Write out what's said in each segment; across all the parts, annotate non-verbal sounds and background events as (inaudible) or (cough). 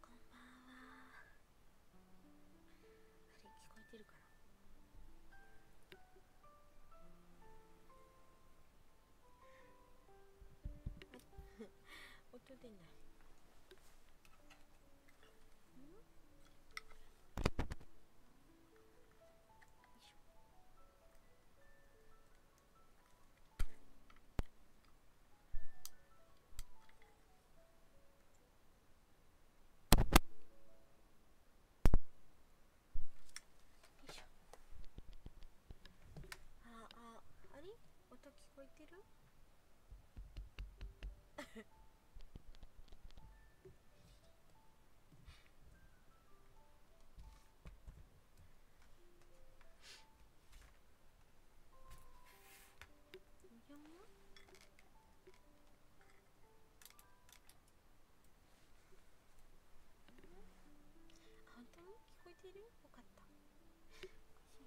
こんばんはあれ聞こえてるかな音出ないよいしょあああれ音聞こえてる (laughs) 本当聞こえているよかったおかしいな。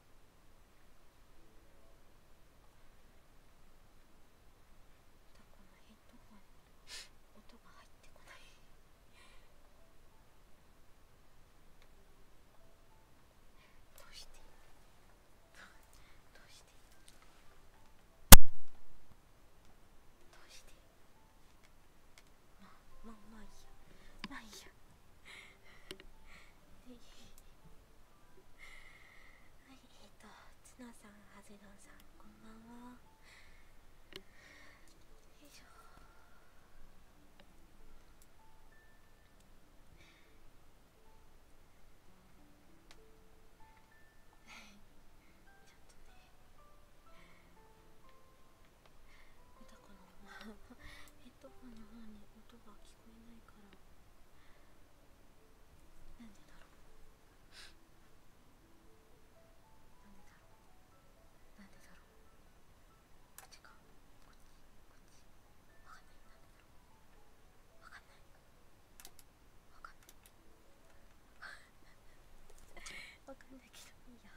このヘッドホン音が入ってこないどうしてどうしてどうしてまあまあまあいいやないやでえ。はいえっ、とツナさんはずどんさんこんばんはよいしょヘッドホンの方に音が聞こえないからなんでだろうなんでだろうなんでだろうこっちかこっちこっちわかんないなんでだろうわかんないわかんないわかんないけどいいや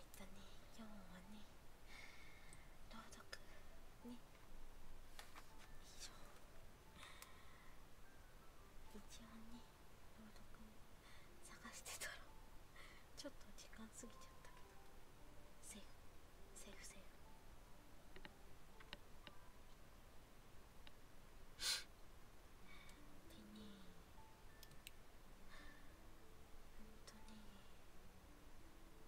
えっとね今日はね朗読ね一応一応ね朗読探してたらちょっと時間過ぎちゃったけどセーフセーフセーフでねほんとね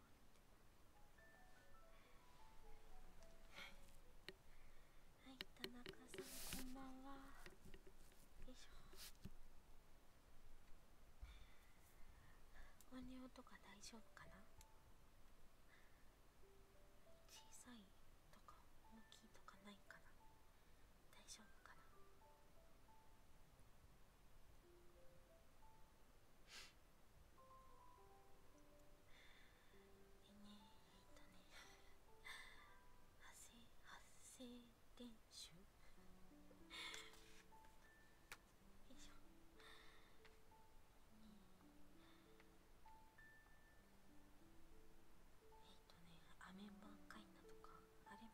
はい田中さんこんばんはよいしょ音量とか大丈夫かな小さいとか大きいとかないかな大丈夫かなえっ発声練習よいしょえっ、とねアメンバーカイナとかあれも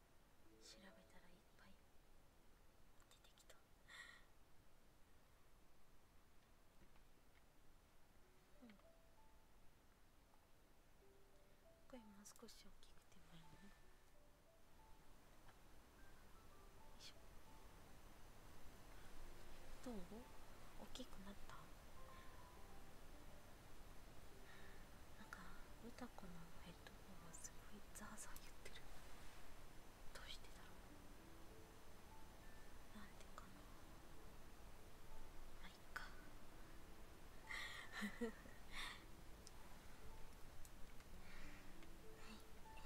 調べたらいっぱい出てきたうんこれもう少し大きくてもいいねよいしょどう大きくなったなんか歌子のとこすごいザーザー言ってるどうしてだろうなんでかなまあいっかはいえっとねはいっぱい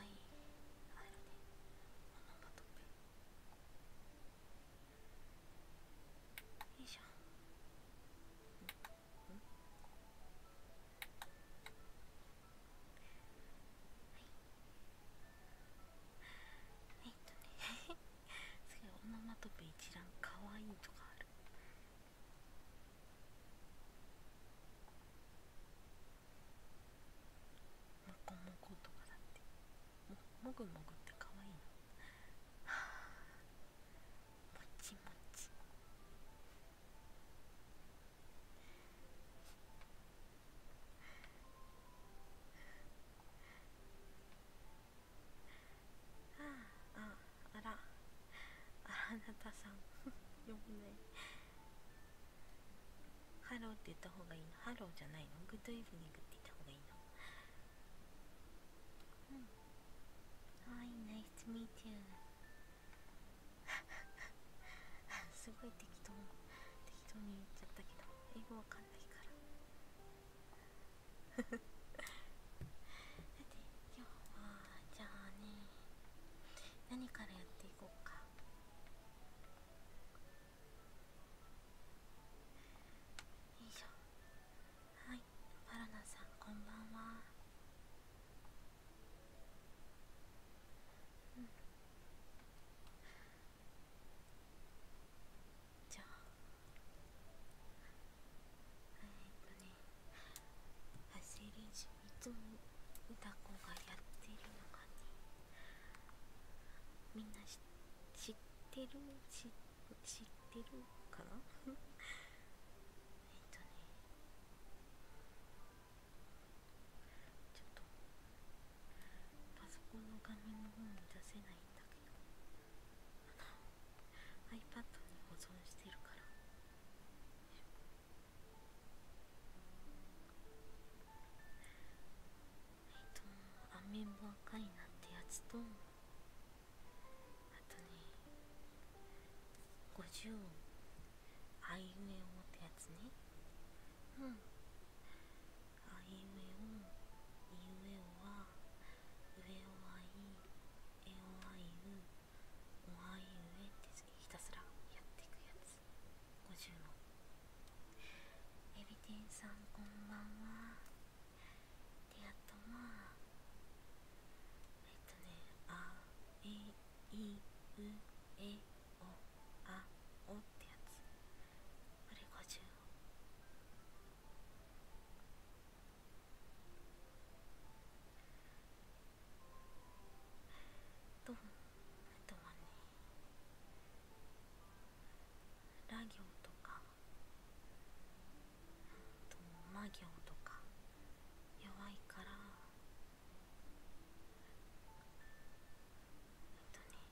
あるね。あのバトル。よいしょはいえっとねすごいオノマトペ一覧かわいいとかあるもこもことかだって。もぐもぐってかわいいなもちもちあああらあなたさん呼ぶねハローって言った方がいいのハローじゃないのグッドイブニングって言った方がいいのはい、ナイスミーティーすごい適当適当に言っちゃったけど英語わかんないからだっ (laughs) て今日はじゃあね何からやっていこうかいしょはいバロナさんこんばんはうんじゃあえっとね走り練習いつも歌子がやってるのがねみんな知ってる知ってるか (laughs) えっとねちょっとパソコンの画面の方に出せないんだけどあの iPad に保存してるからえっとアメンボ赤いなってやつとあとね50音あいうえおってやつねうんあいうえおいうえおはうえおはいえおはいうおはいうえってひたすらやっていくやつ50の。エビデンさんこんばんは。であとまあえっとねあえいうえおあおってやつこれ50えっとはねラ行とかと魔行とか弱いからえっとね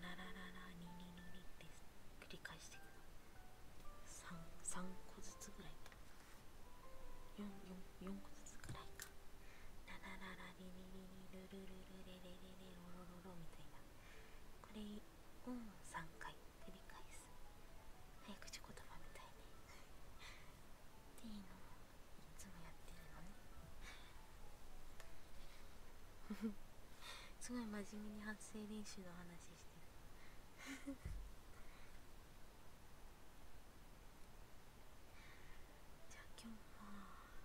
ララララニニニニって繰り返していくの 3, 3個ずつぐらいか 4, 4, 4個ずつぐらいかララララリリリリルルルルレレレレロロロロみたいな。これを3回繰り返す早口言葉みたいにっていうのをいつもやってるのね (laughs) (laughs) (laughs) すごい真面目に発声練習の話してるじゃあ今日は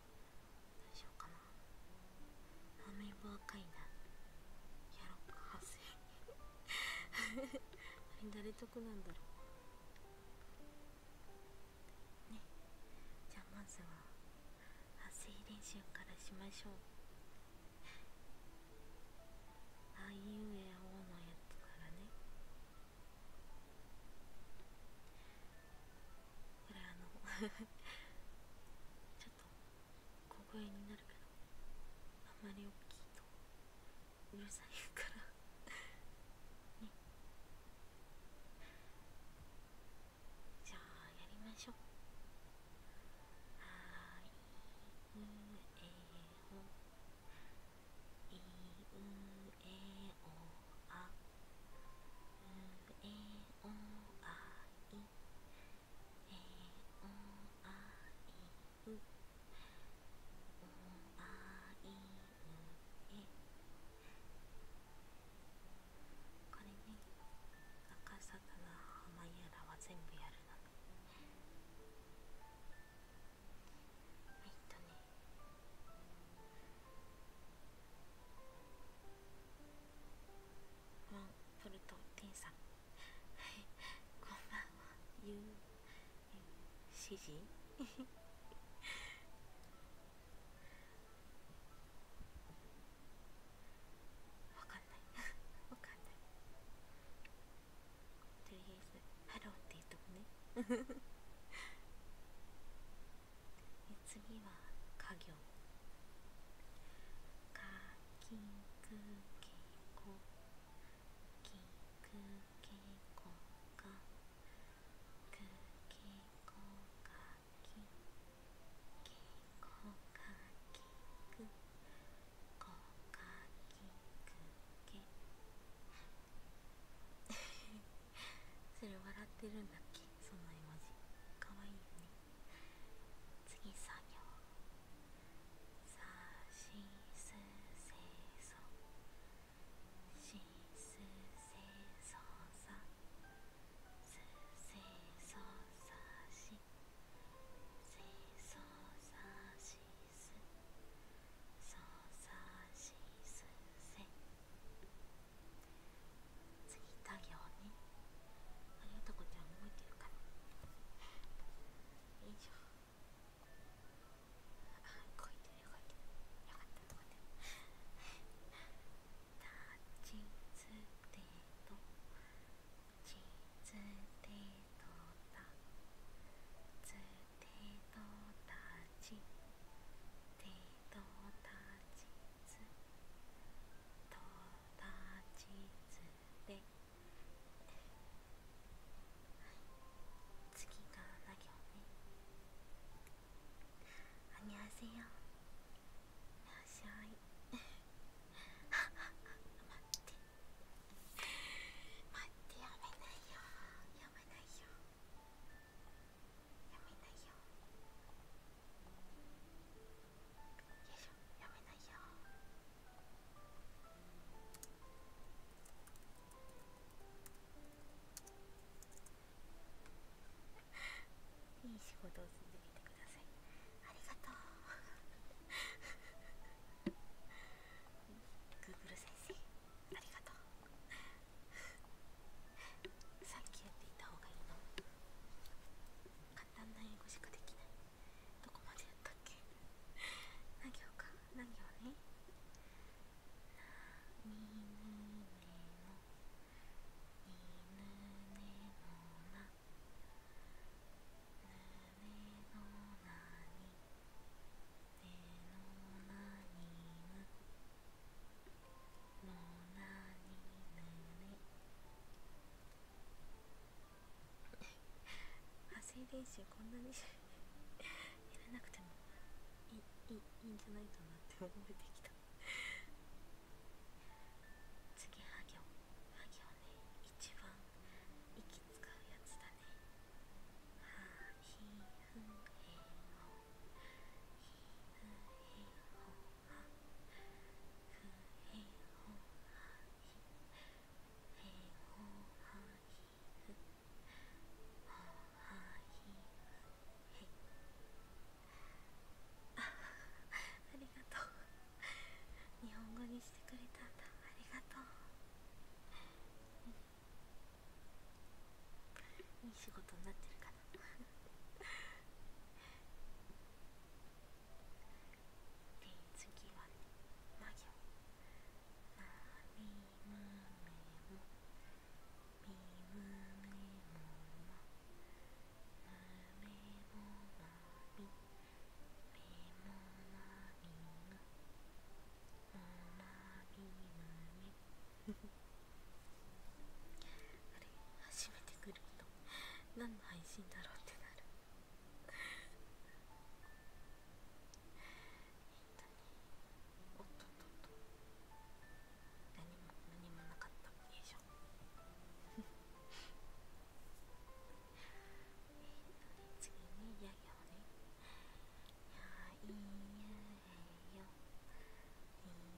どうしようかなあんまり若いなやろっかせあれ誰得なんだろうねじゃあまずは発声練習からしましょうあいうえおのやつからねこれあのちょっと小声になるけどあんまり大きいとうるさいからねじゃあやりましょうはいうえほいうえおあうえおあいえおあいうおあいうえこれね赤坂の浜やらは全部やるの。えっとねモンフルトテンさん (laughs) こんばんはゆう指示 (laughs) わかんない (laughs) わかんないとりあえずハローって言っとくね次は家業かきくけこきくけこかくけこかきけこかきくこかきくけそれ笑ってるんだっけその絵文字かわいいよね次作業さしすせしすさすせしせそすそさしすせそしすせそさすせそさしせそさしすそさしすせせそそささししすせそそささししすすせそささししすすせせそ次行ってあねありがとこちゃん動いてるからよいしょあ動いてる動いてるよかった動いてるチーズデートチーズデートだチーズデート達図と達図で、はい、次がな行ねあにゃせよいらっしゃい待って (laughs) 待ってやめないよやめないよ。やめないよよいしょ、やめないよ。いい仕事をんでみてくださいありがとうグーグル先生ありがとうさっきやっていた方がいいの簡単な英語しかできないどこまでやったっけ何行か何行ねなにぬねのにぬねのなぬねのなにねのなにぬね。発声練習こんなにやらなくてもいいんじゃないかなって思えてきた次は行は行ね一番息使うやつだねはひふへほひふへほありがとう日本語にしてくれたんだありがとういい仕事になってるから。で次はね魔行まみむめもみむめもまむめもまみめもまみむおまみむめあれ初めて来る人何の配信だろうってなるえっとねおっとっとっと何も何もなかったよいしょえっとね次にややいやいやいやいやいやいいい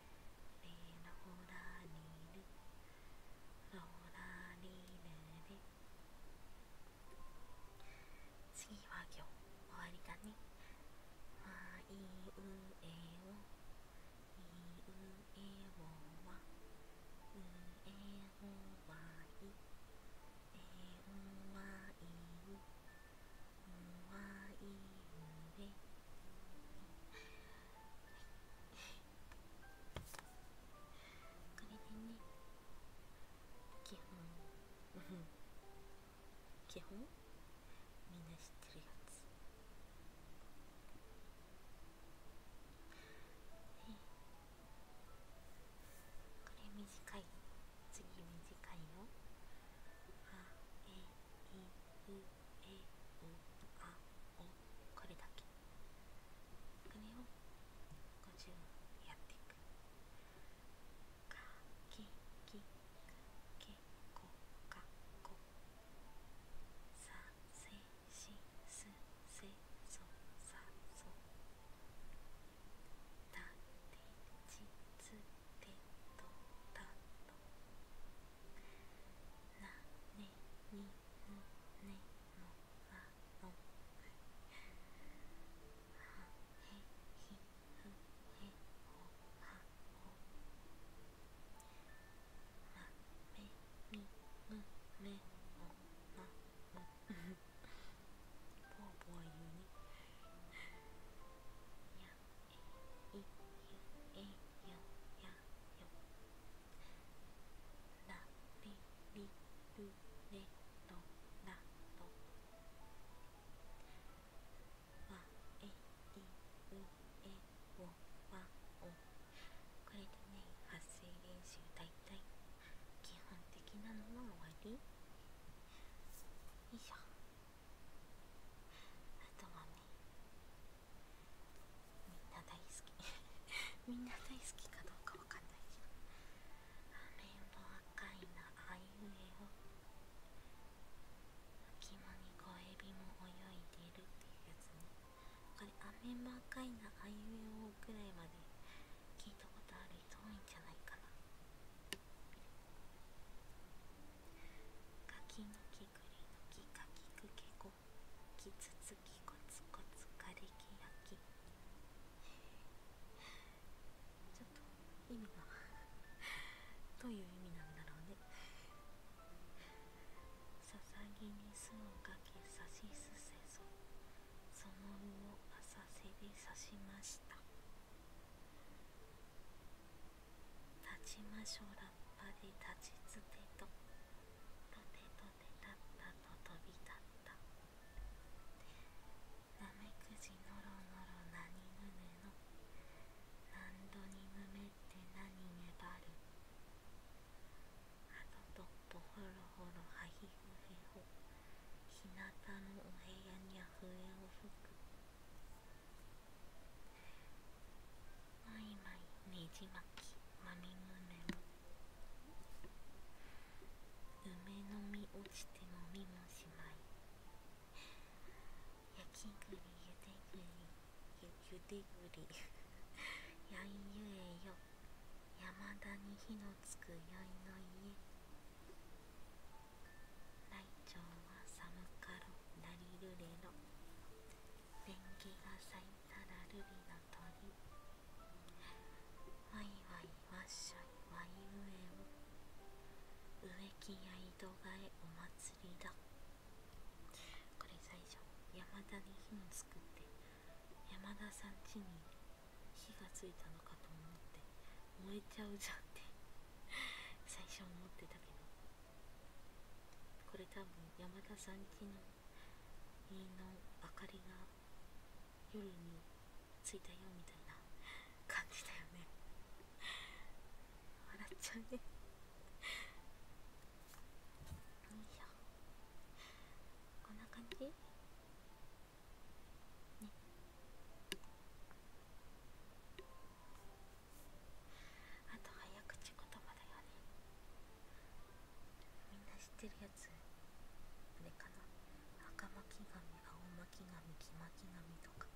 ラオラリルラオラリルで次は今日終わりだねまあいうえおいうえおはうえおはいえおはいね基本基本みんな知ってるやつこれ短い次短いよ。あえいうえおあおこれだけこれを50やっていくかききけこかこさせしすせそさそたてちつてとたとなねにのねのらのはへひふへほほまめみむめもまもぽわぽわ言ねいえよ、よ。やなめりるれ、となとわえいうえをわおこれでね発声練習だいたい基本的なのは終わりよいしょあとはねみんな大好きみんな大好きかどうかわかんないけどあれの赤いなあいうえを隙間に小エビも泳いでるっていうやつねこれアメンバ赤いなあいうえをぐらいまで聞いたことある人多いんじゃないかなガキの毛りくりのきかきくけこきつつきこつこつかれきやきちょっと意味がどういう意味なんだろうねささぎに巣をかけさしすせそそのうを浅瀬でさしました立ちましょうラッパで立ちつてととてとてたったと飛び立ったなめくじのろのろなにぬぬの何度にむめって何ねばるあととっぽほろほろはひふへほひなたのお部屋には笛を吹くまいまいねじまきまみむね梅の実落ちて飲みもしまい焼き栗ゆで栗ゆゆで栗やいゆえよ山田に火のつくやいの家大腸は寒かろなりるれろ電気が咲いたら瑠璃の鳥ワイワイワッショイワイウエウ植木や井戸がえお祭りだこれ最初山田に火を作って山田さん家に火がついたのかと思って燃えちゃうじゃんって最初思ってたけどこれ多分山田さん家の家の明かりが夜についたよみたいな感じだよね (laughs) 笑っちゃうねよいしょこんな感じねあと早口言葉だよねみんな知ってるやつあれかな赤巻紙青巻紙黄巻紙とか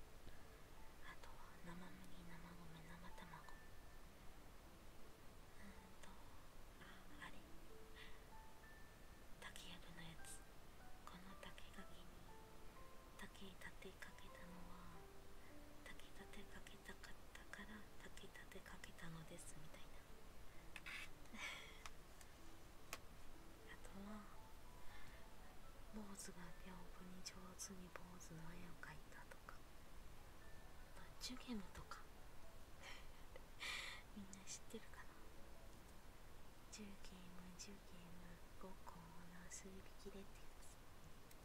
あとは生麦生米生卵うんとあれ竹やぶのやつこの竹垣に竹立てかけたのは竹立てかけけたかったかたてかけたのですみたいなあとは坊主が屏風に上手に坊主の絵を描いたとかあとジュゲムとかみんな知ってるかなジュゲムジュゲム5個の数匹でってやつ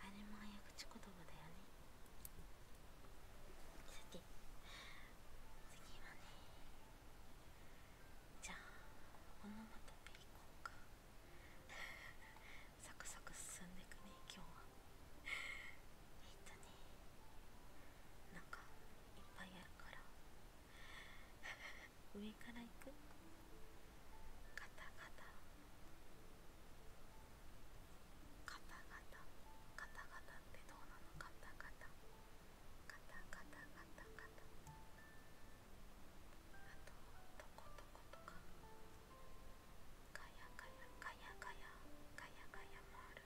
あれも早口言葉だよね次。次はねじゃあオノまトペいこうかサクサク進んでいくね今日はえっとねなんかいっぱいあるから上からいくカタカタカタガタカタガタってどうなのカタガタカタガタガタガタあとトコトコとかガヤガヤガヤガヤガヤガヤもある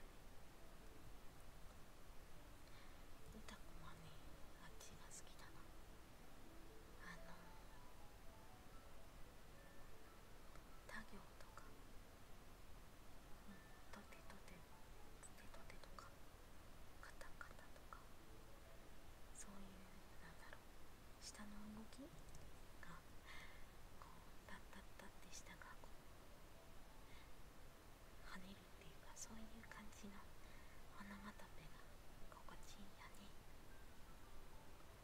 ねた子もねあっちが好きだなあの他行とか、うん、とてとてとてとてとかカタカタとかそういうなんだろう下の動きがこうタッタッタって下がこう跳ねるっていうかそういう感じのオな。またペが心地いいんやね。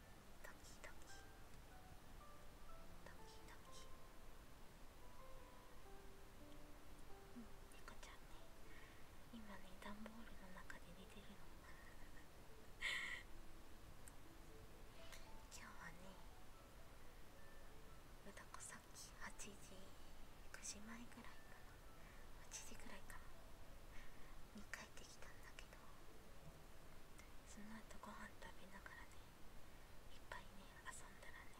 ドドドドキキ。キキ。うん、猫ちゃんね今ね段ボールの中で寝てるの今日はねうたこさっき8時9時前ぐらいかな8時ぐらいかなに帰ってきたんだけどその後ご飯食べながらねいっぱいね遊んだらね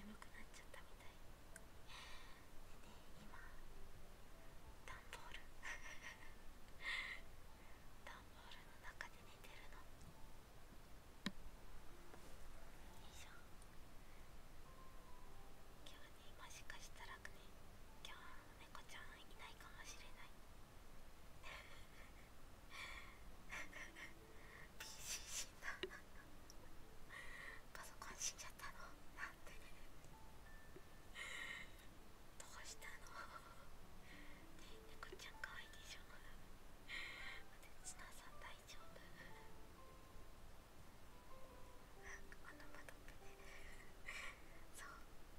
眠くなっちゃったみたいでね今ダンボールダン (laughs) ボールの中で寝てるのよいしょ。今日ねもしかしたらね今日猫ちゃんいないかもしれないパソコン死んじゃったのどうしたのね猫ちゃん可愛いでしょ待大丈夫そう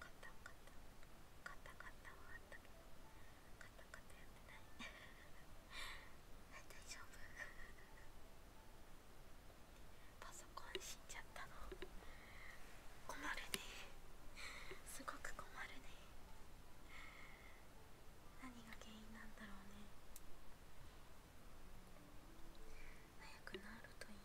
カタカタカタカタはあったけどった、タった、やってない大丈夫パソコン死んじゃったの困るねすごく困るね何が原因なんだろうね早くなるといいね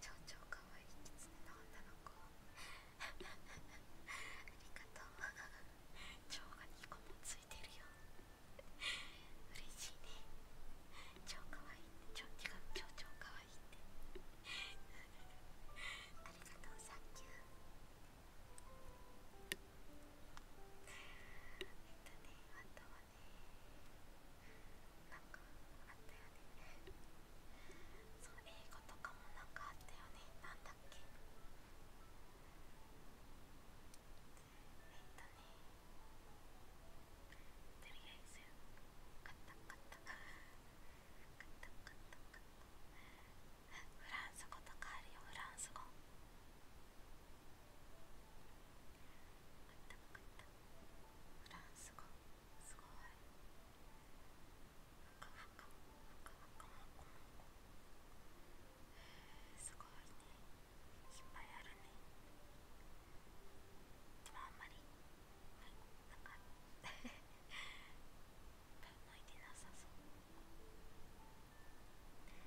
超超かわいいきつねの女の子ありがとう蝶が2個もついてるよ嬉しいね超かわいいって蝶違う超超かわいいってありがとうサンキューえっとねあとはねなんかあったよねそう英語とかもなんかあったよねなんだっけえっとねとりあえず買った買った買った買った買ったフランス語とかあるよフランス語った分ったフランス語すごいふかふかふかふかもこもこすごいねいっぱいあるねでもあんまりはいなんかいっぱい向いてなさそう。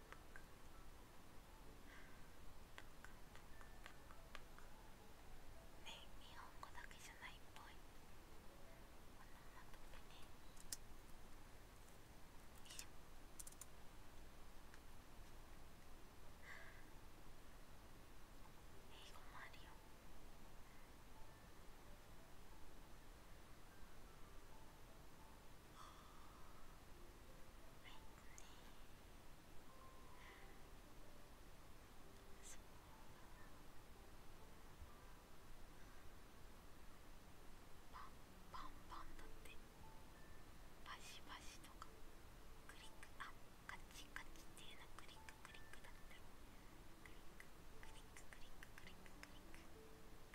ね、日本語だけじゃないっぽいこのまま飛めねよいしょ英語もあるよ英語パンパンンだってバシバシとかクリックあカチカチっていうのクリッククリックだってクリッククリッククリッククリッククリッククリック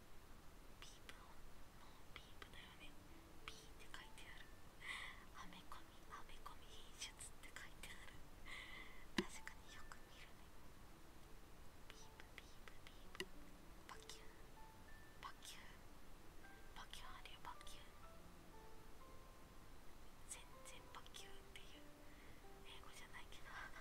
ピープ音もうピープだよねピーって書いてあるアメコミアメコミ品質って書いてある確かによく見るねピープピープピープバキュンバキュンバキュンあるよバキュン全然バキュンっていう英語じゃないけどバ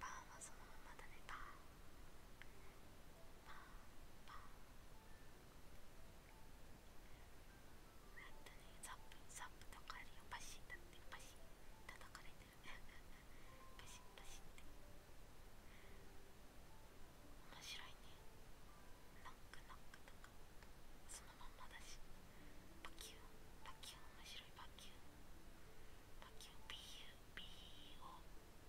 パンはそのままだねパンパンパンやったねザップザップとかあるよパシッだってパシッ叩かれてるね。パシッパシッって面白いねノックノックとかそのままだしパキュンパキュン面白いパキュンパキュン PUBO ュンパキュン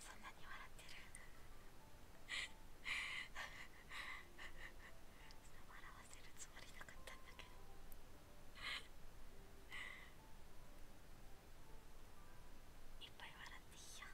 そんなに笑ってる笑わせるつもりなかったんだけどいっぱい笑っていいよ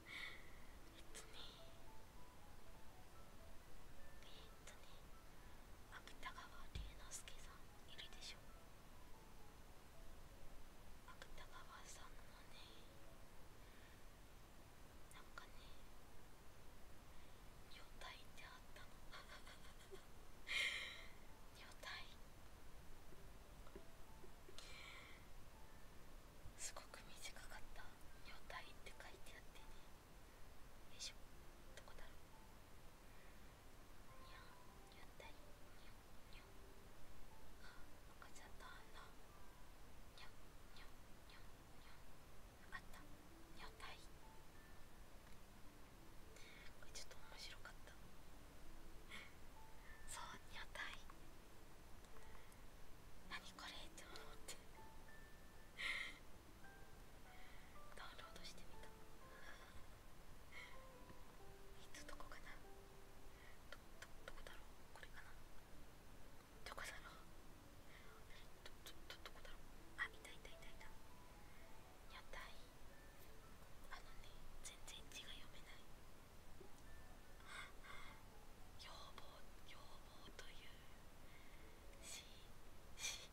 えっとねえっとね芥川龍之介さんいるでしょ芥川さんもねなんかね女体ってあったの女体すごく短かった「女体」って書いてあってねよいしょどこだろうにゃ女体にゃにゃあ赤ちゃんの穴にゃにゃにゃにゃあった女体これちょっと面白かったそう女体何これって思ってダウンロードしてみたいつどこかなどどどこだろうこれかなどこだろうどっどどこだろうあいたいたいたいたやっあのね全然字が読めない要望要望というしし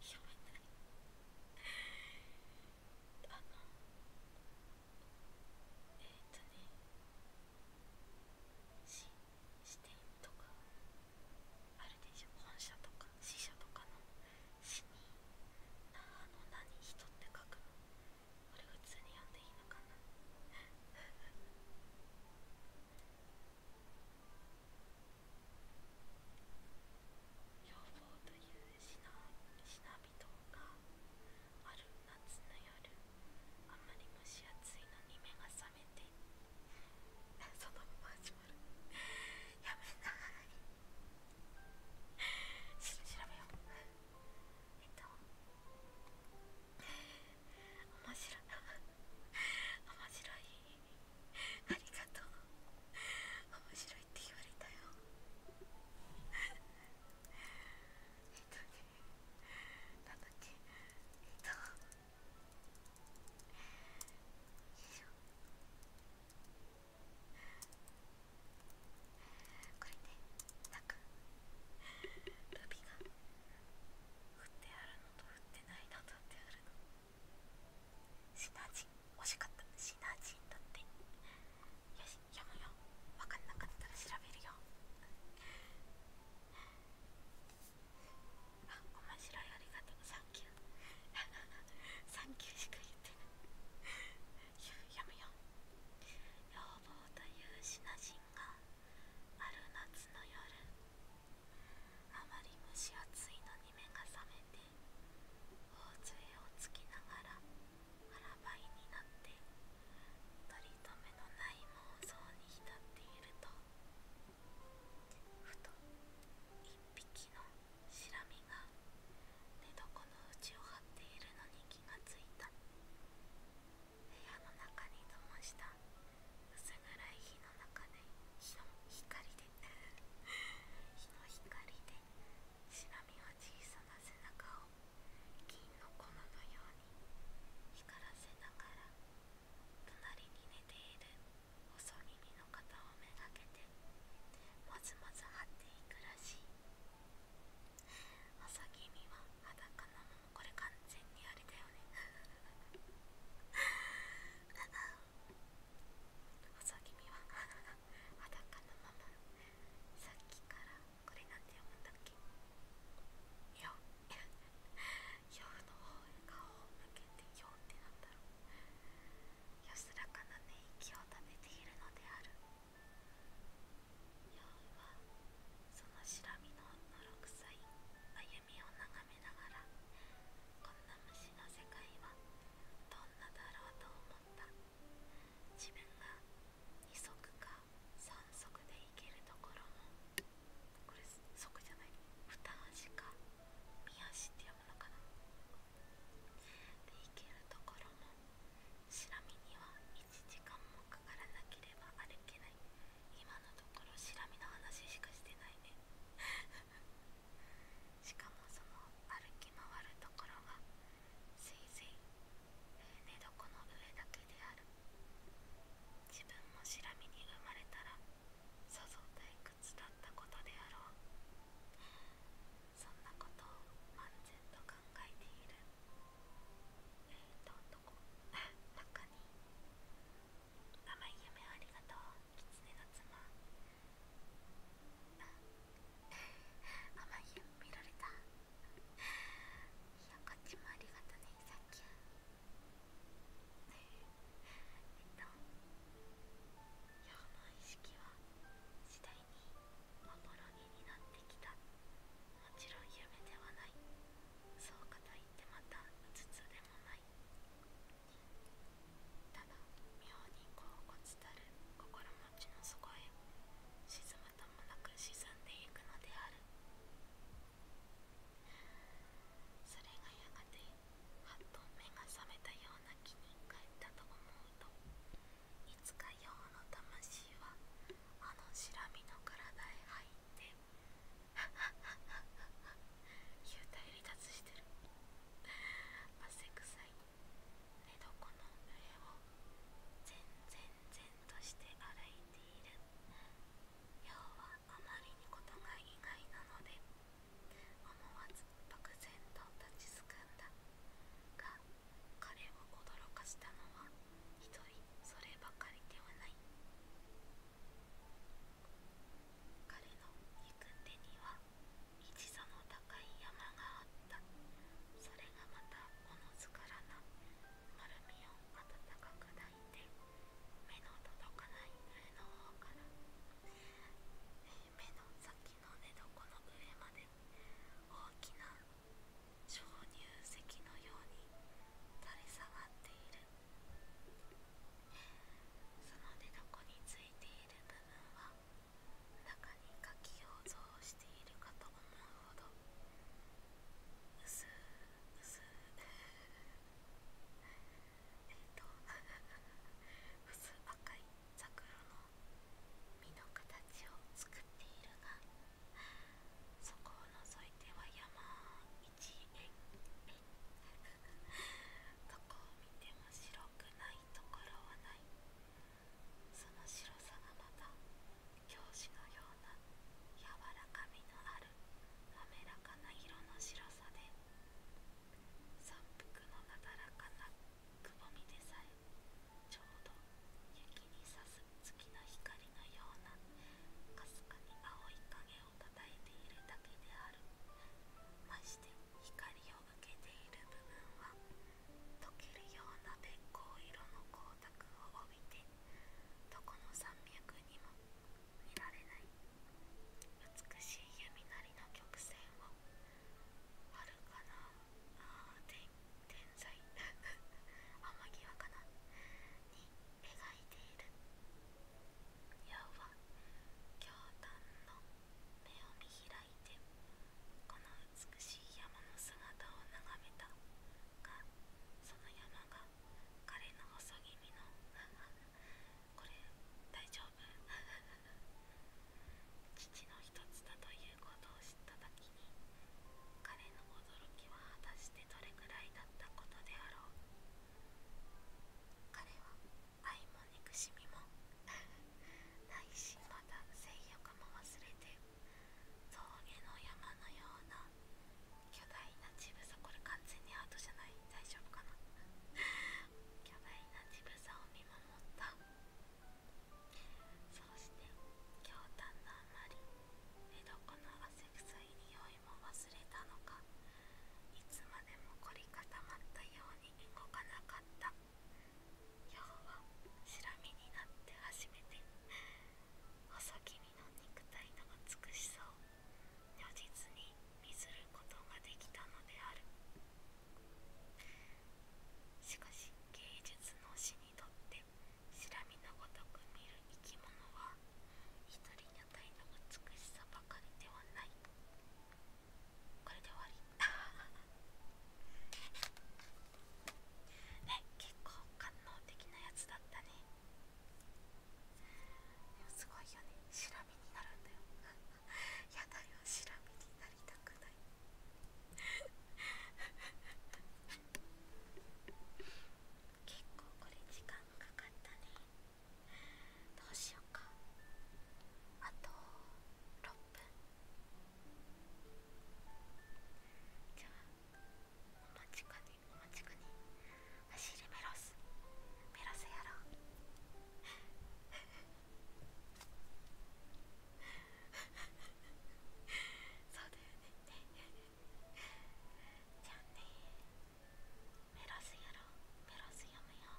読めないあのえっとねし支店とかあるでしょ本社とか支社とかの「し」に「あの何人」って書くのこれ普通に読んでいいのかな養蜂というシナ人がある夏の夜あんまり蒸し暑いのに目が覚めてそのまま始まるやめなし調べよう見た面白い面白いありがとう面白いって言われたよえっとねなんだっけえっとよいしょえっとこれねなんかルビが振ってあるのと振ってないのとってあるのシナジン惜しかったシナジンだってよし読むよ分かんなかったら調べるよあ面白いありがとうサンキューサンキューしか言ってないやむ要望という品心がある夏の夜あまり蒸し暑いのに目が覚めて大杖をつきながら腹ばいになって取り留めのない妄想に浸っているとふと一匹のシラミが寝床の内を張っているのに気がついた部屋の中に灯した薄暗い火の中で日の光で日の光で白身は小さな背中を金の粉のように光らせながら隣に寝ている細耳の方をめがけてまずまず張っていくらしい。朝 (laughs) 君は裸のままこれ完全にあれだよね細君は裸のままさっきからこれなんて読むんだっけよ夜の方へ顔を向けてよってなんだろう安らかな寝息を食べているのであるはそのしらみののろくさい歩みを眺めながらこんな虫の世界はどんなだろうと思った自分が2足か3足で行けるところもこれ即じゃない2足か三足って読むのかなで行けるところもシラミには時間もかからなければ歩けない今のところしらみの話しかしてないね (laughs) しかもその歩き回るところがせいぜい寝床の上だけである自分もシラミに生まれたらさぞ退屈だったことであろうそんなことを漫然と考えているどんどこ中に甘い夢をありがとう狐の妻甘い夢見られたいやこっちもありがとねさっき。えっと夜の意識は次第におに人になってきたもちろん夢ではないそうかといってまたうつつでもないただ妙に恍惚たる心持ちの底へ沈むともなく沈んでいくのであるそれがやがてハッと目が覚めたような気に変ったと思うといつか太の魂はあのシラミの体へ入って幽体離脱してる汗臭い寝床の上を全然然として歩いている要はあまりにことが意外なので思わず漠然と立ちすくんだが彼を驚かしたのはひ人そればかりではない彼の行く手には一座の高い山があったそれがまたおのずからな丸みを温かく抱いて目の届かない上の方から目の先の寝床の上まで大きな鍾乳石のように垂れ下がっているその寝床についている部分は中に書きを像しているかと思うほど薄薄えっと (laughs) 薄赤い桜の実の形を作っているがそこを除いては山一円どこを見ても白くないところはないその白さがまた教師のような柔らかみのある滑らかな色の白さで山腹のなだらかなくぼみでさえちょうど雪にさす月の光のようなかすかに青い影をたたいているだけであるまして光を受けている部分は溶けるようなべっ甲色の光沢を帯びてどこの山脈にも見られない美しい弓なりの曲線をはるかな天天さ (laughs) 天際かなに描いている要は京丹の目を見開いてこの美しい山の姿を眺めたがその山が彼の細気味の (laughs) これ大丈夫 (laughs) 父の一つだということを知った時に彼の驚きは果たしてどれくらいだったことであろう彼は愛も憎しみもないしまた性欲も忘れて峠の山のような巨大な乳房これ完全にアートじゃない大丈夫かな巨大な乳房を見守ったそして驚嘆のあまり寝床の汗臭い匂いも忘れたのかいつまでも凝り固まったように動かなかった今日は白身になって初めて細気味の肉体の美しさを如実に見ずることができたのであるしかし芸術の死ににとっのごとく見る生き物は一人に与えの美しさばかりではないこれで終わり (laughs) ね結構感動的なやつだったねでもすごいよねしらみになるんだよ (laughs) やだよしらみになりたくない結構これ時間かかったねどうしようかあと6分じゃあお待ちかねお待ちかね走りメロスメロスやろうそうだよねじゃあねメロスやろうメロス読むよ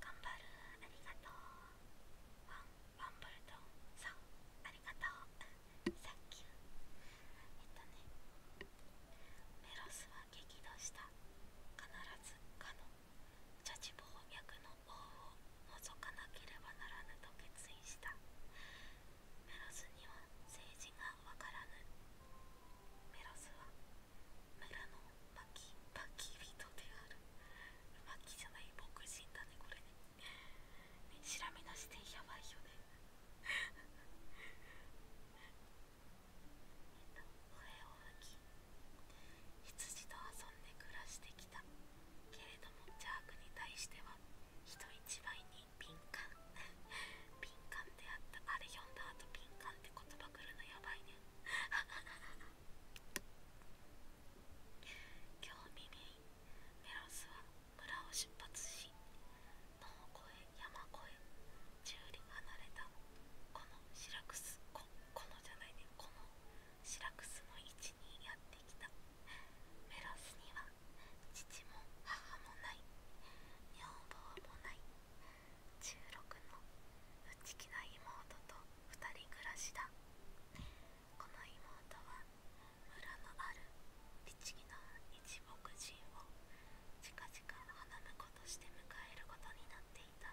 頑張るありがとうワンワンボルトそうありがとうサッキューえっとねメロスは激怒した必ずかのジャジボ翻訳の王を除かなければならぬと決意したメロスには政治がわからぬメロスは村の牧人である牧じゃない牧人だねこれね調べなしてやばいよねえっと笛を吹き羊と遊んで暮らしてきたけれどもジャークに対しては人一倍に敏感敏感であったあれ読んだ後敏感って言葉くるのやばいね今日未明メロスは村を出発し野を越え山越え十里離れたこのシラクスこのじゃないねこのシラクスの位置にやってメロスには父も母もない女房もない16の内気な妹と2人暮らしだこの妹は村のある律儀の一牧人を近々花婿として迎えることになっていた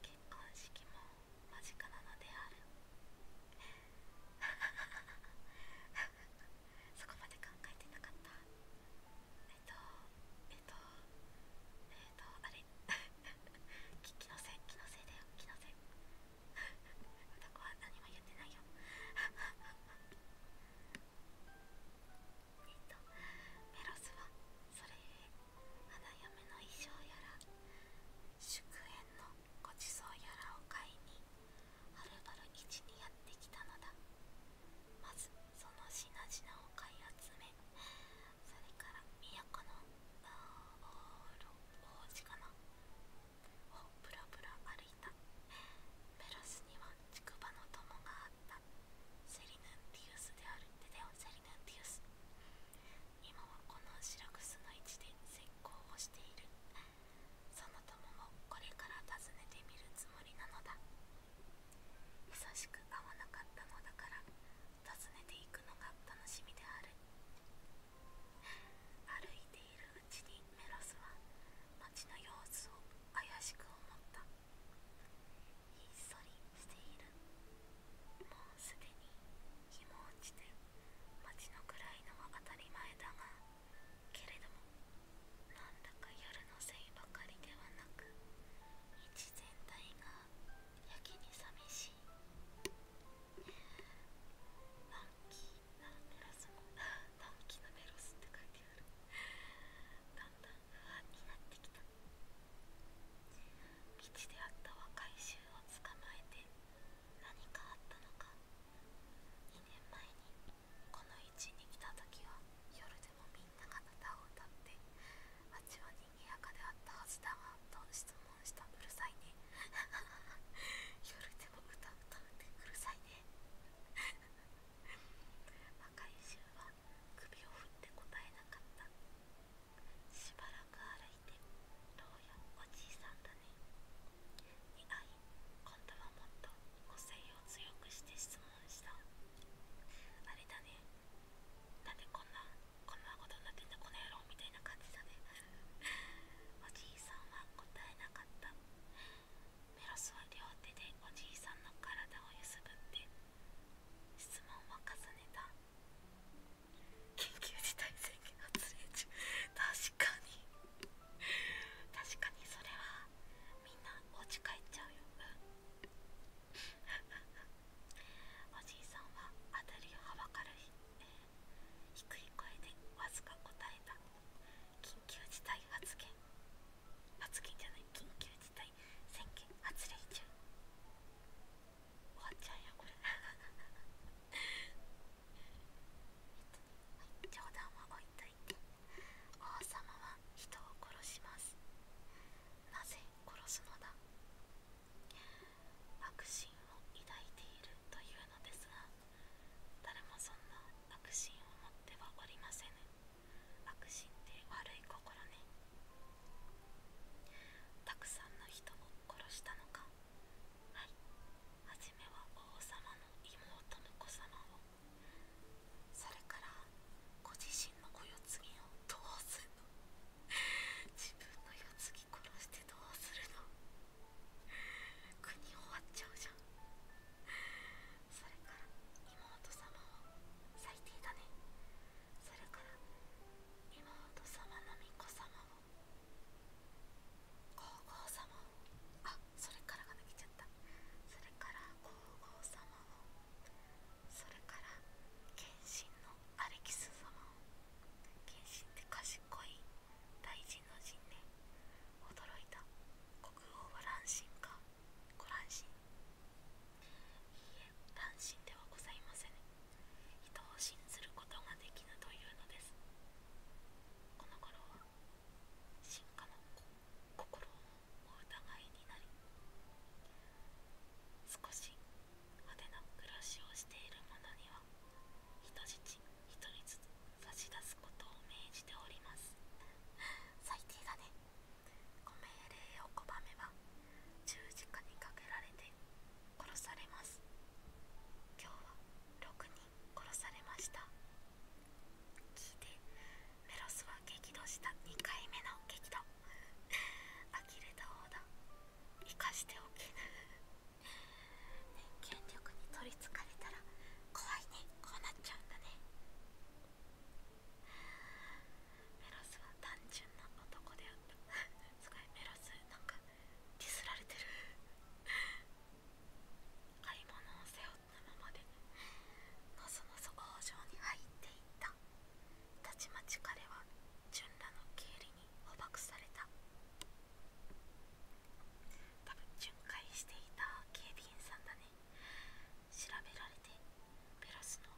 結婚式も間近なのである (laughs) そこまで考えてなかったえっとえっとえっとあれ気のせい気のせいだよ気のせい歌子は何もやってないよえっとメロスはそれ花嫁の衣装やら祝宴のごちそうやらを買いにはるばる市にやってきたのだまずその品々を買い集めそれから都の王子かなをぶらぶら歩いたメロスには竹馬の友があったセリヌンティウスであるテてオよセリヌンティウス今はこのシラクスの位置で石膏をしているその友もこれから訪ねてみるつもりなのだ久しく会わなかったのだから訪ねていくのが楽しみである歩いているうちにメロスは町の様子を怪しく思ったひっそりしているすでに日も落ちて街の暗いのは当たり前だがけれどもなんだか夜のせいばかりではなく道全体がやけに寂しい暗記キーなメロスもランなメロスって書いてあるだんだん不安になってきた道であった若い衆を捕まえて何かあったのか2年前にこの位置に来た時は夜でもみんなが歌を歌って街は賑やかであったはずだがと質問したうるさいね夜でも歌を歌うってうるさいね若い衆は首を振って答えなかったしばらく歩いて「どうやおじいさんだね」に会い今度はもっと個性を強くして質問した「あれだねなんでこんなこんなことになってんだこの野郎」みたいな感じだねおじいさんは答えなかったメロスは両手でおじいさんの体をゆすって質問は重ねた緊急事態宣言発令中確かに確かにそれはみんなお家帰っちゃうよおじいさんはたりをはばかる日、えー、低い声でわずか答えた緊急事態発言発言じゃない緊急事態宣言発令中終わちゃんや、これはい冗談は置いといて王様は人を殺しますなぜ殺すのだ悪心を抱いているというのですが誰もそんな悪心を持ってはおりませぬ悪心って悪い心ねたくさんの人を殺したのかはいはじめは王様の妹の子様をそれからご自身の子世継ぎをどうするの自分の世継ぎ殺してどうするの国終わっちゃうじゃんそれから妹様を最低だねそれから妹様の巫女様を皇后様をあそれからが抜けちゃったそれから皇后様をそれから謙信のアレキス様を謙信って賢い大臣の陣ね驚いた国王は乱心かご乱心いいえ乱心ではございません、人を信ずることができぬというのですこの頃は進化の心をお疑いになり少し派手な暮らしをしている者には人質一人ずつ差し出すことを命じております最低だねご命令を拒めば十字架にかけられて殺されます今日は6人殺されました聞いてメロスは激怒した2回目の激怒呆れた方だ生かしておけね、権力に取りつかれたら怖いねこうなっちゃうんだねメロスは単純な男であったすごいメロスなかディスられてる買い物を背負ったままでのそのそ工場に入っていったたちまち彼は純らの経理に捕獲された多分巡回していた警備員さんだね調べられてベロスの、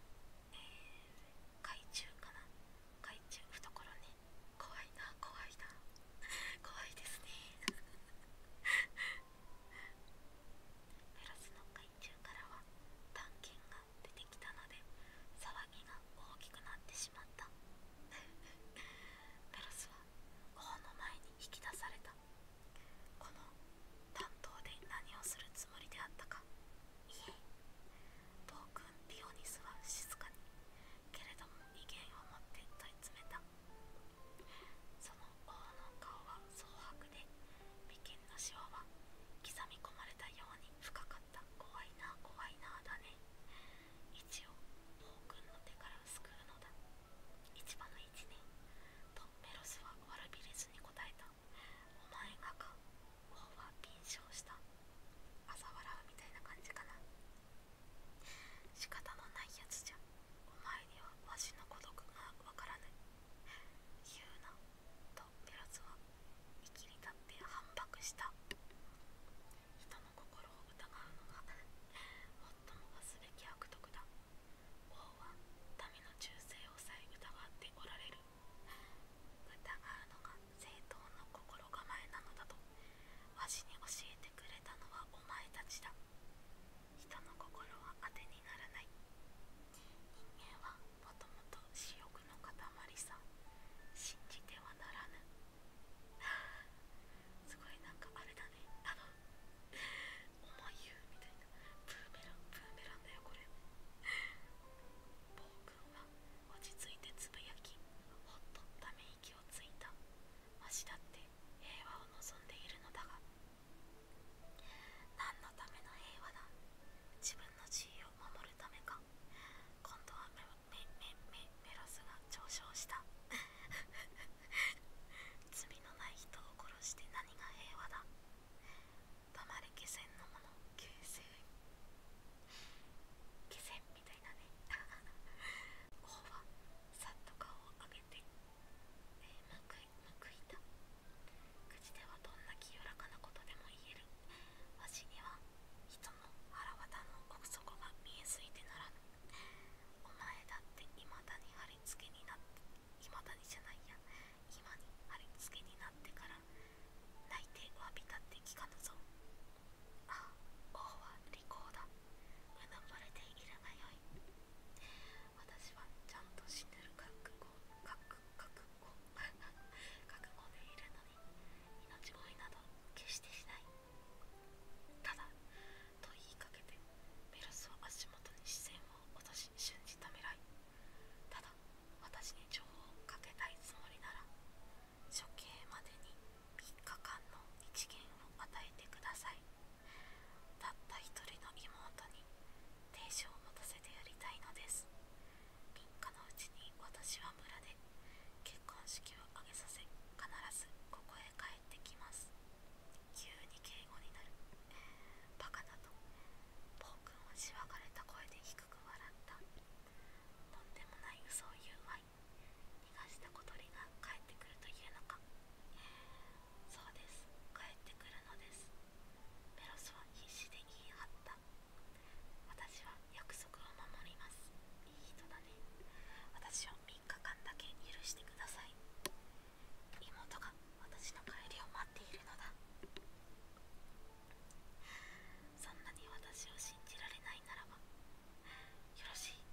えー、海中かな海中懐ね怖いな怖いな怖いですねテロスの海中からは探検が出てきたので騒ぎが大きくなってしまったテロスは王の前に引き出されたこの担当で何をするつもりであったかいえ暴君ピオニスは静かにけれども威厳を持って問い詰めたその王の顔は蒼白で眉間のシワは刻み込まれたように深かった怖いな怖いなだね一応王君の手から救うのだ市場の位年とメロスは悪びれずに答えたお前がか王は敏捷した朝笑うみたいな感じかな仕方のないやつじゃお前にはわしの孤独がわからぬ言うなとペロスは生きり立って反駁した人の心を疑うのが最も忘れき悪徳だ王は民の忠誠をさえ疑っておられる疑うのが正当の心構えなのだとわしに教えてくれたのはお前たちだ人の心は当てにならない人間はもともと私欲の塊さ信じてはならぬ (laughs) すごいなんかあれだねあの思い言うみたいなプーメランブーメランだよこれ暴君は落ち着いてつぶやきほっとため息をついたわしだって平和を望んでいるのだが何のための平和だ自分の地位を守るためか今度はメメメメロスが上昇した (laughs) 罪のない人を殺して何が平和だ黙れ気仙のもの気仙気仙みたいなね王はさっと顔を上げて、えー、むくいむくいた口ではどんな清らかなことでも言えるわしには人の腹渡の奥底が見えすぎてならぬお前だっていまだに貼り付けになっていまだにじゃないや今に貼り付けになってから泣いて詫びたって聞かぬぞあ王は利口だうぬぼれているがよい私はちゃんと死ぬる覚悟覚覚悟 (laughs) 覚悟でいるのに命乞いなど決してしないただと言いかけてメロスは足元に視線を落とし瞬じためらいただ私に情報をかけたいつもりなら処刑までに3日間の一元を与えてくださいたった一人の妹に亭主を持たせてやりたいのです3日のうちに私は村で結婚式を挙げさせ必ずここへ帰ってきます急に敬語になるバカだと暴君をしわかれた声で低く笑ったとんでもない嘘を言う逃がした小鳥が帰ってくるというのかそうです帰ってくるのですペロスは必死で言い張った私は約束を守りますいい人だね私を3日間だけ許してください妹が私の帰りを待っているのだそんなに私を信じられないならばよろしいよ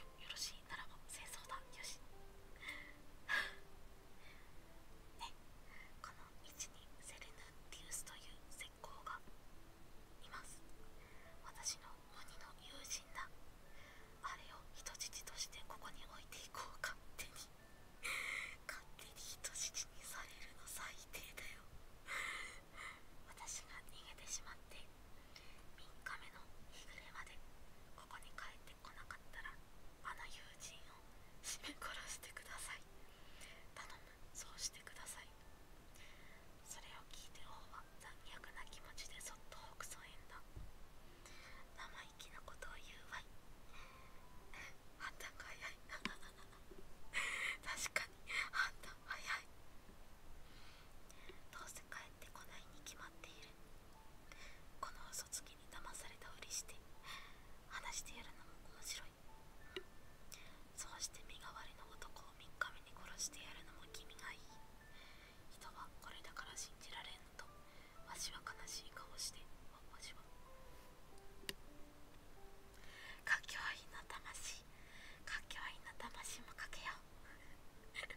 ろしいならば戦争だよし (laughs) ねこの道にセレヌンティウスという石膏がいます私の鬼の友人だあれを人質としてここに置いていこう勝手に勝手に人質にされるの最低だよ私が逃げてしまって3日目の日暮れまでここに帰ってこなかったらあの友人を絞め殺してください頼むそうしてくださいそれを聞いて王は残虐な気持ちでそっと北斎へんだ生意気なことを言うわいあっ (laughs) たかい (laughs) 確かに反対早いどうせ帰ってこないに決まっているこの嘘つきに騙されたふりして話してやるのも面白いそうして身代わりの男を3日目に殺してやるのも君がいい人はこれだから信じられんのとわしは悲しい顔してわしはかきわいいの魂かきわいいの魂もかけよう (laughs)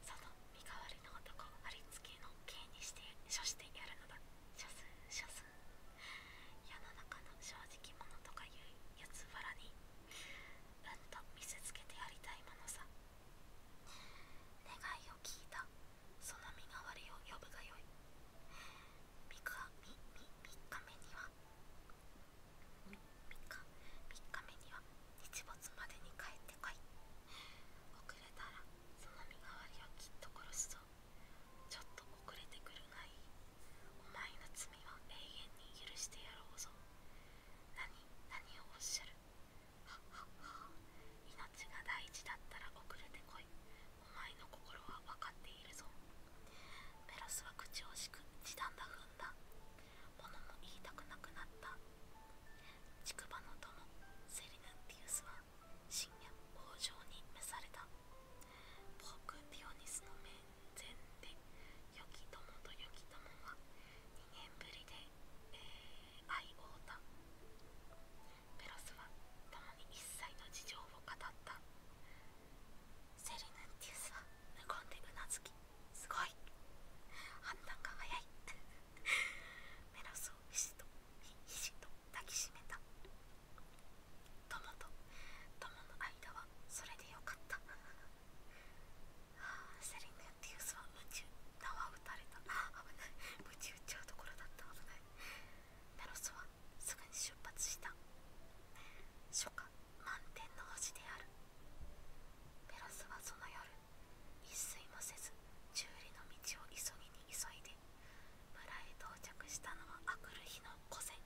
その身代わりの男ありつけの刑にして処してやるのだ処す処す世の中の正直者とかいう四つ腹にうんと見せつけてやりたいものさ願いを聞いたその身代わりを呼ぶがよい三日目には3日目には日没までに帰ってこい遅れたらその身代わりをきっと殺すぞちょっと遅れてくるがいいお前の罪は永遠に許してやろうぞ何何をおっしゃるはっはっは命が大事だったら遅れてこいお前の心は分かっているぞメロスは口惜しく時短だ踏んだものも言いたくなくなった竹馬の友セリヌンティウスは深夜王城に召されたポークディオニスの面前で良き友と良き友は2年ぶりで、えー、愛をたペロスは共に一切の事情を語ったセリヌンティウスは無言でうなずきすごい判断が早い (laughs) メロスをひしとひしと抱きしめた友と友の間はそれでよかったセリヌンティウスは夢中縄を打たれたああ、危ない夢中打っちゃうところだった危ないメロスはすぐに出発した初夏満天の星であるペロスはその夜一睡もせず修理の道を急ぎに急いで村へ到着したのはあくる日の午前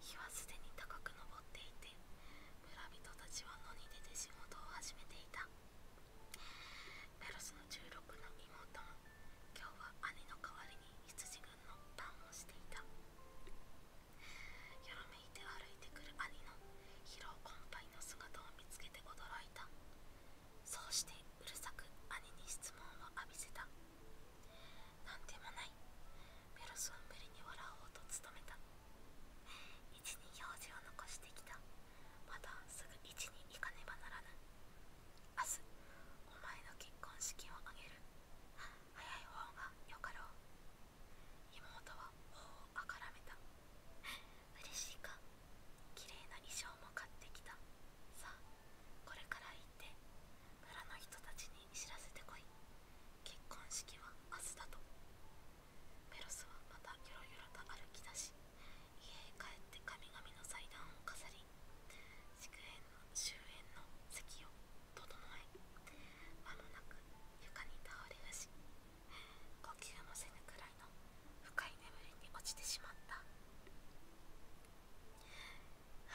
日はすでに高く昇っていて村人たちは野に出て仕事を始めていたペロスの16の妹も今日は兄の代わりに羊がの堪能していたよろめいて歩いてくる兄の疲労困憊の姿を見つけて驚いたそうしてうるさく兄に質問を浴びせた何でもないメロスは無理に笑おうと努めた一に用事を残してきたまたすぐ一に行かねばならぬ明日お前の結婚式を挙げる早い方がよかろう妹は頬をあからめた嬉しいか綺麗な衣装も買ってきたさあこれから行って村の人たちに知らせてこい結婚式は明日だとメロスはまたよろよろと歩き出し家へ帰って神々の祭壇を飾り祝宴の終焉の席を整え間もなく床に倒れるし呼吸もせぬくらいの深い眠りに落ちてしまったは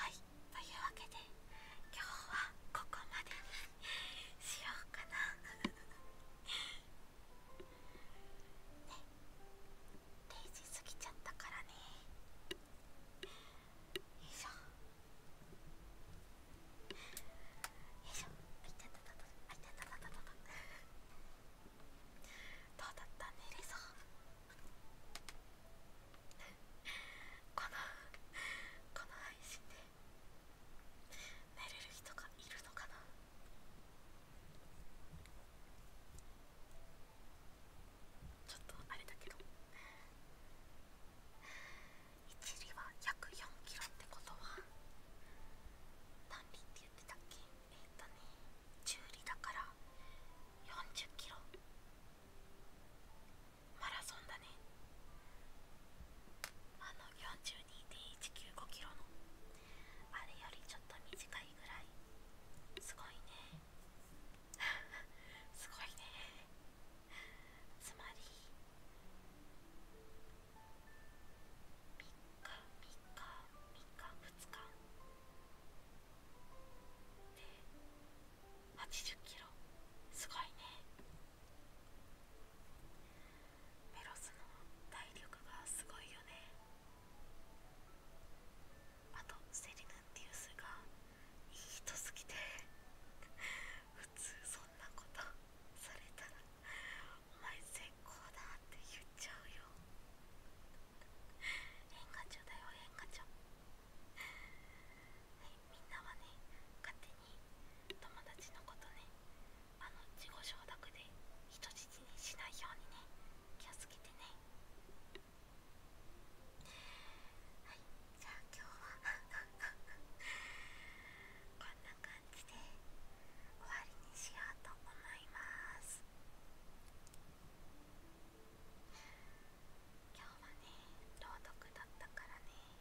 いというわけで今日はここまでにしようかな (laughs) ね定時過ぎちゃったからねよよいいいししょ。ょ。たたどうだった寝れそうこのこの配信で寝れる人がいるのかなちょっとあれだけど一里は約4キロってことは単里って言ってたっけえっ、ー、とね中里だから40キロマラソンだねあの42.195キロのあれよりちょっと短いぐらいすごいねすごいねつまり3日3日3日2日で80キロすごいねメロスの体力がすごいよねあとセリヌンティウスがいい人すぎて普通そんなことされたら「お前絶好だ」って言っちゃうよ変化長だよ変化長はいみんなはね勝手に友達のことねあの自己承諾で人質にしないようにね気をつけてね。はいじゃあ今日はこんな感じで終わりにしようと思います今日はね朗読だったからね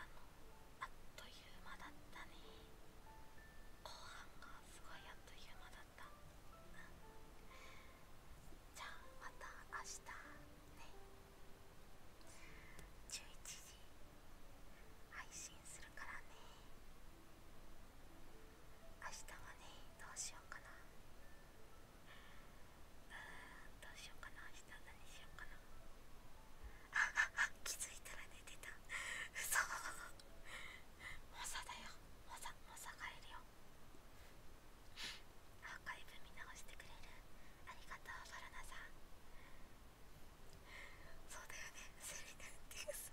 あのあっという間だったね後半がすごいあっという間だうん、じゃあまた明日ね11時配信するからね明日はねどうしようかなうんどうしようかな明日何しようかなあああ気づいたら寝てた嘘モサだよモサモサ帰るよアーカイブ見直してくれるありがとうバラナさんそうだよねセリナンディス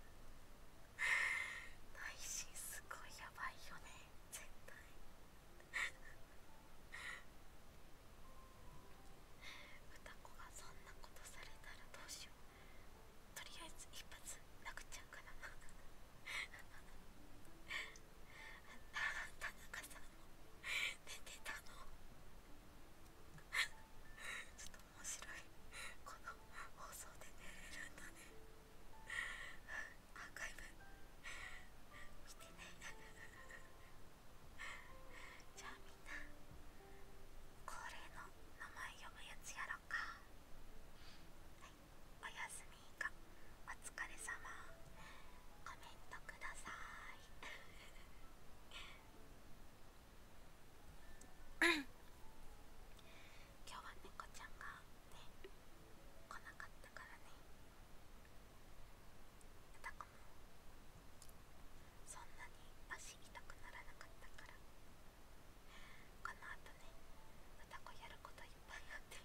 内心すごいやばいよね絶対歌子がそんなことされたらどうしようとりあえず一発なくちゃうかな田中さんも寝てたのちょっと面白いこの放送で寝れるんだねアーカイブ見てな。じゃあみんな恒例の名前読むやつやろかはいおやすみかお疲れ様コメントください今日は猫ちゃんがね来なかったからねたこもそんなに足痛くならなかったからこのあとねこやることいっぱいあって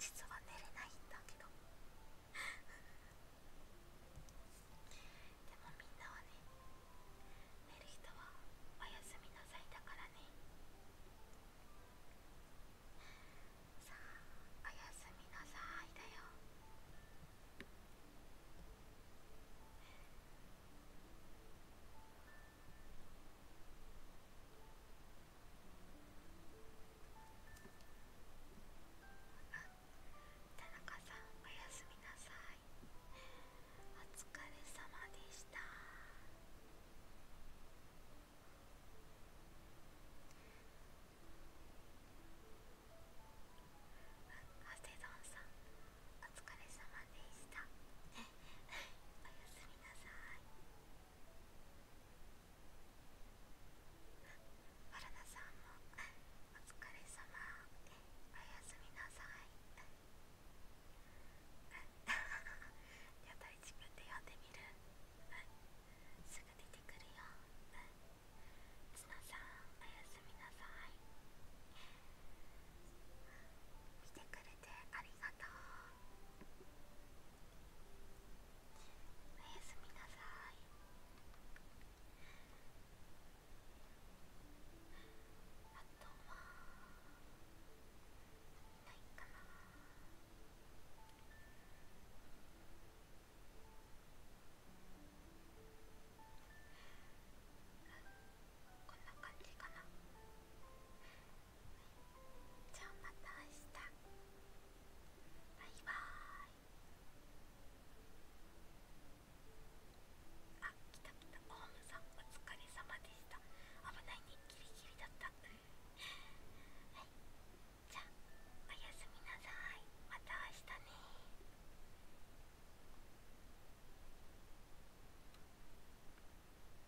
実は寝れないんだけどでもみんなはね寝る人はおやすみなさいだからねさあおやすみなさいだよ田中さんおやすみなさいお疲れ様でしたハセドンさんお疲れ様でした (laughs) おやすみなさい春菜さんもお疲れ様おやすみなさいやっぱり自分で呼んでみるすぐ出てくるよつなさんおやすみなさい見てくれてありがとうおやすみなさいあとはいないかなこんな感じかな。じゃあまた明日バイバーイあ来た来たオウムさんお疲れ様でした危ないねギリギリだったはいじゃあおやすみなさいまた明日ね